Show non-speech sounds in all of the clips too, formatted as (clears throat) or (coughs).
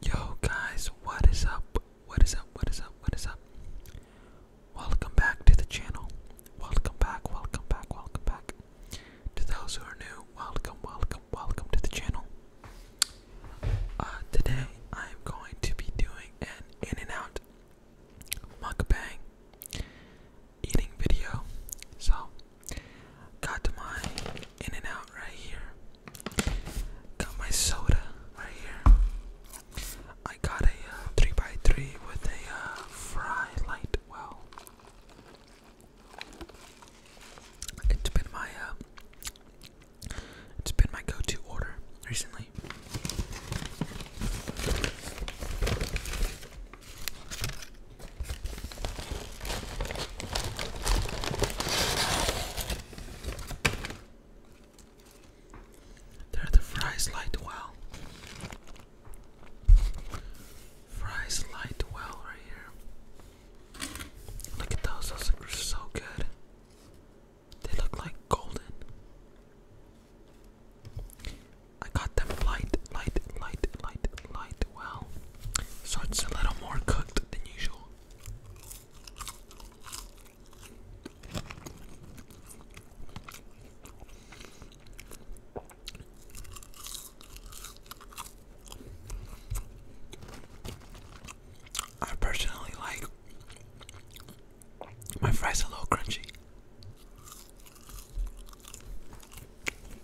Yo guys, what is up? What is up? What is up? What is up? Welcome back to the channel. Welcome back, welcome back, welcome back. To those who are new, welcome, welcome, welcome to the channel. Uh, today I am going to be doing an in and out mukbang eating video. So Got my in and out right here. Got my soda right here. I got a uh, three by three with a uh, fry light. Well, it's been my uh, it's been my go-to order recently. There the fries light well. Fries light well right here. Look at those, those look so good. They look like golden. I got them light, light, light, light, light, well, so it's a little more cooked than usual. I personally like my fries a little crunchy. And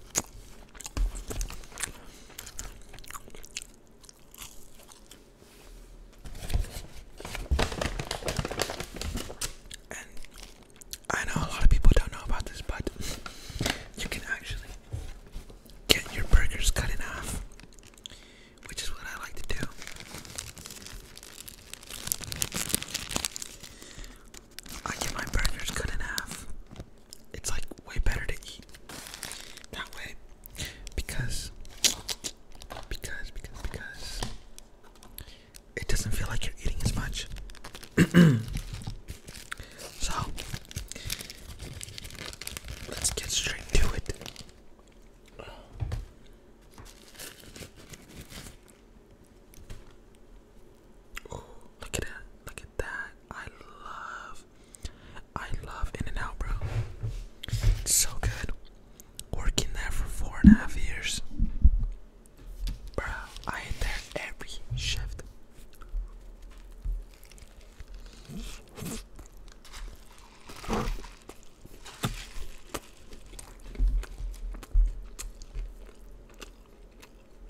I know a lot of people don't know about this, but you can actually get your burgers cut in half, which is what I like to do. I get my burgers cut in half it's like way better to eat that way because because because because it doesn't feel like you're eating as much. (clears throat) so let's get straight to it. look at that. Look at that. I love, I love In and Out, bro. so good. Working there for four and a half years, bro. I ain't there every shift.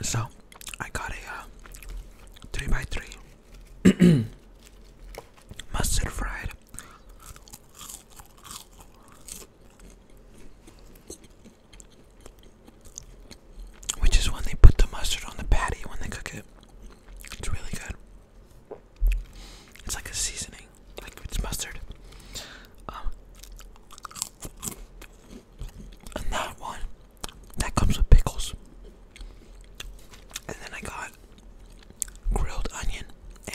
So I got a uh, three by three (clears throat) mustard fried which is when they put the mustard on the patty when they cook it. It's really good. It's like a seasoning, like it's mustard. Um, and that one, that comes with pickles. And then I got grilled onion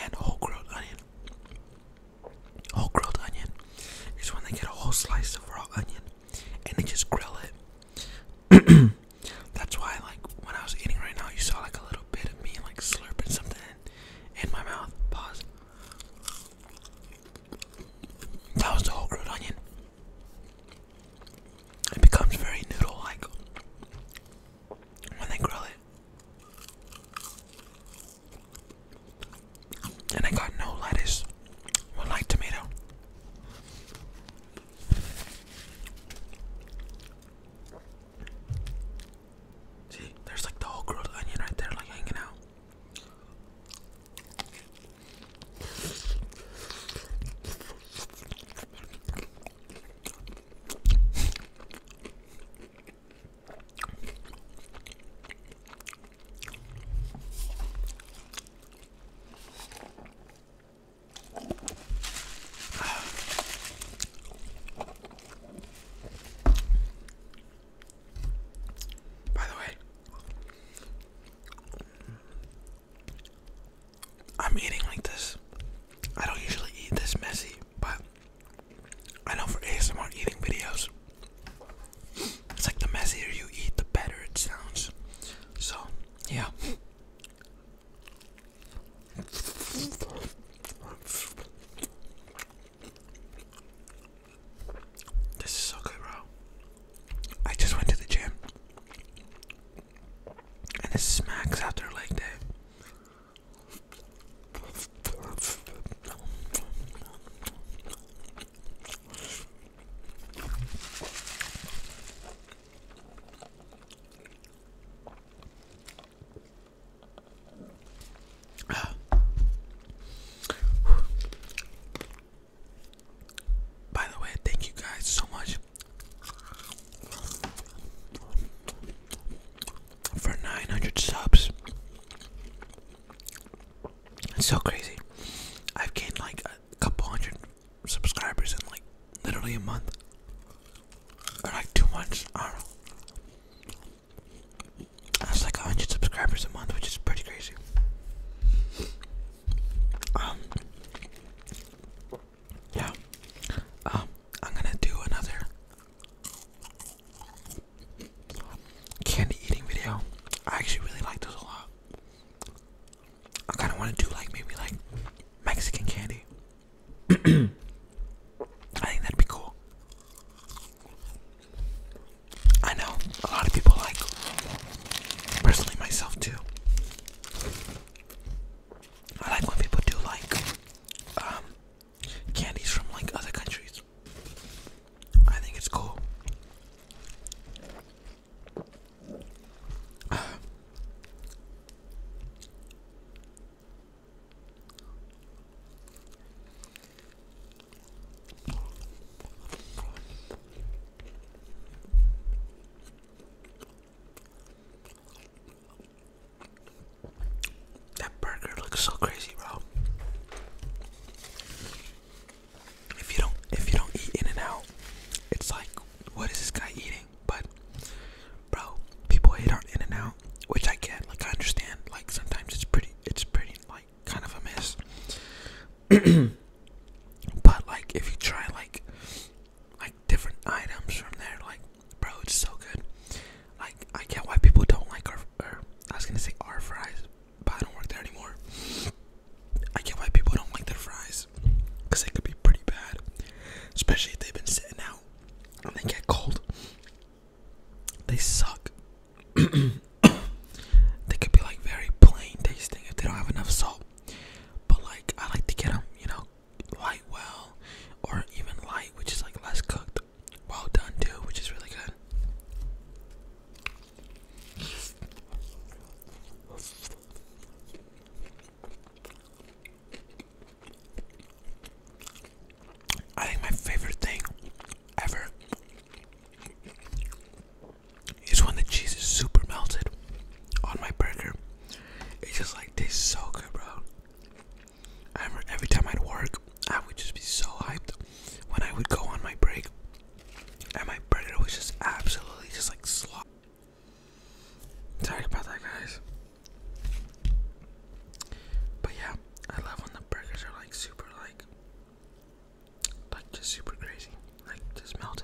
and whole grilled onion. Whole grilled onion is when they get a whole slice of raw onion and they just grill it. (clears throat) That's why, like, when I was eating right now, you saw like a little bit of me like slurping something in, my mouth. Pause. That was the whole grilled onion. It becomes very noodle like when they grill it. And I got no lettuce, one light tomato. See, there's like the whole grilled onion right there, like hanging out. By the way, I'm eating like this. I don't usually eat this messy, but I know for ASMR eating videos, it's like the messier you eat, the better it sounds. So, yeah. This is so good, bro. I just went to the gym. And this smacks after leg day. By the way, thank you guys so much for 900 subs. It's so crazy. I've gained like a couple hundred subscribers in like literally a month. Or like two months. I don't know. That's like 100 subscribers a month, which is pretty crazy. Um, yeah. Um, I'm gonna do another candy eating video. I actually really like those a lot. I kind of want to do like maybe like Mexican candy. (clears throat) I think that'd be cool. I know a lot of people like, personally myself too. I like when people do like um, candies from like other countries. I think it's cool. That burger looks so crazy, bro. If you don't if you don't eat in and out, it's like what is this guy eating? But bro, people hate on in and out, which I get, like I understand. Like sometimes it's pretty it's pretty like kind of a mess. (clears throat) but like if you try like like different items from there, like Bro, it's so good. Like, I get why people don't like our, I was gonna say our fries, but I don't work there anymore. I get why people don't like their fries, because they could be pretty bad, especially if they've been sitting out and they get cold. They suck. (coughs) they could be like very plain tasting if they don't have enough salt. But like, I like to get them, you know, light well, or even light, which is like less cooked well done too, which is really good. I think my favorite thing ever is when the cheese is super melted on my burger. It just like tastes so good, bro. I every time I'd work, I would just be so hyped when I would go on my break, and my brother was just absolutely just like slop. Sorry about that, guys. But yeah, I love when the burgers are like super, like, like just super crazy, like just melted.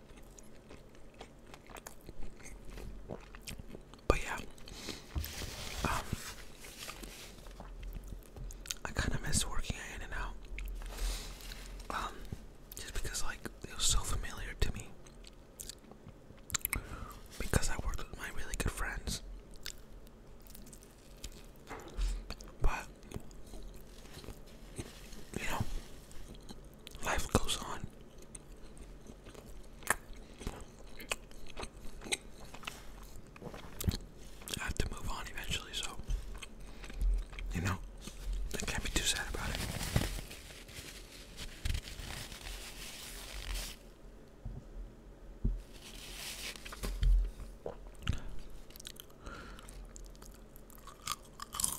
But yeah, um, I kind of miss working at In and Out, um, just because like it was so familiar to me. Because I worked with my really good friends, but you know, Life goes on. I have to move on eventually, so you know, I can't be too sad about it.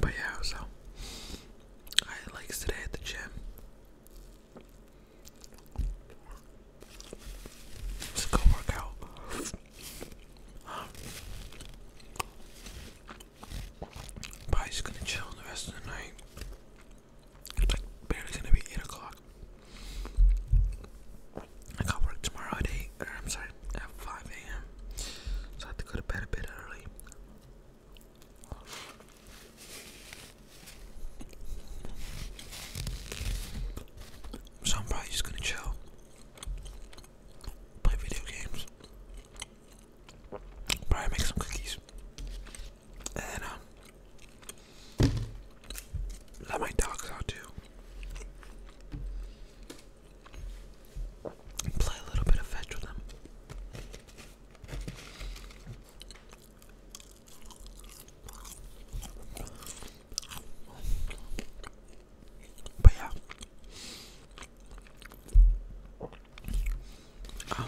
But yeah, so I like legs today at the gym. It's a good workout. But gonna chill the rest of the night. It's like barely gonna be 8 o'clock. I got work tomorrow at 8, I'm sorry, at 5 a.m. So I have to go to bed a bit early. So I'm probably just gonna chill, play video games, probably make some cookies, and um, let my dogs out too, play a little bit of fetch with them. But yeah. I'm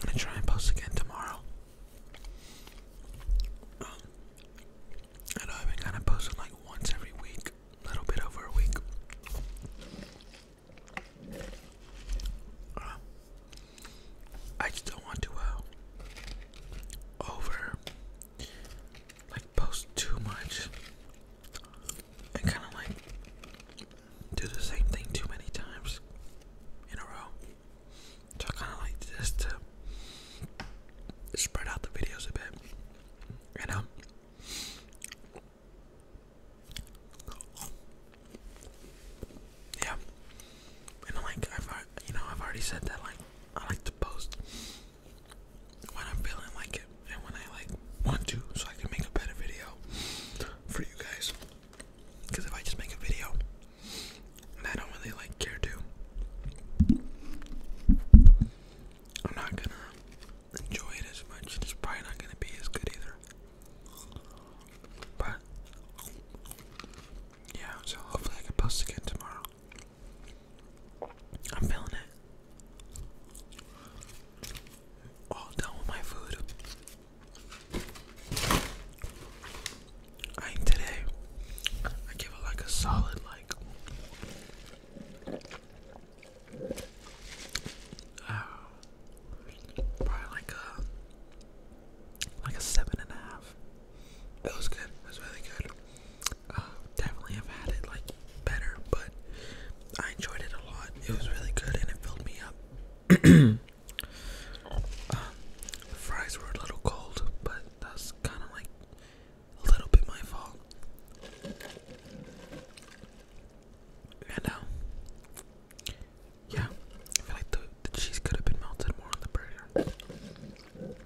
gonna try and post again tomorrow. I know I've been kind of posting like once every week, a little bit over a week. I just don't want to uh, over like post too much and kind of like do the same thing too many times in a row. So I kind of like this to spread out the videos a bit, and um, yeah, and like I've you know I've already said that like I like to post when I'm feeling like it and when I like want to, so I can make a better video for you guys. Because if I just make a video, I don't really like care to, I'm not gonna enjoy it as much. It's probably not gonna be as good either. But yeah, so hopefully I can post again tomorrow. I'm feeling it. All done with my food. I eat today. I give it like a solid like uh, probably like a like a seven and a half. It was good. It was really good. Uh, definitely have had it like better, but I enjoyed it a lot. It was really good and it filled me up. (coughs) Um, the fries were a little cold, but that's kind of like a little bit my fault. And uh, yeah, I feel like the, the cheese could have been melted more on the burger.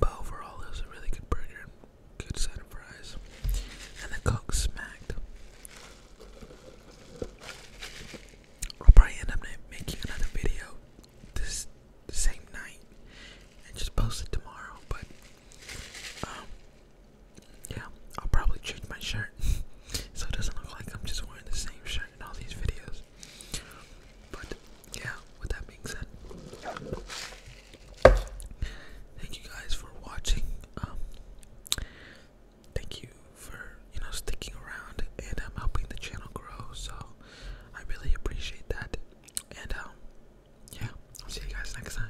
But overall, it was a really good burger, good side of fries, and the Coke smacked. I'll probably end up making another video this the same night and just post it tomorrow, but um, yeah, I'll probably change my shirt (laughs) so it doesn't look like I'm just wearing the same shirt in all these videos. But yeah, with that being said, thank you guys for watching. Um, thank you for you know sticking around and um, helping the channel grow. So I really appreciate that. And um, yeah, I'll see you guys next time.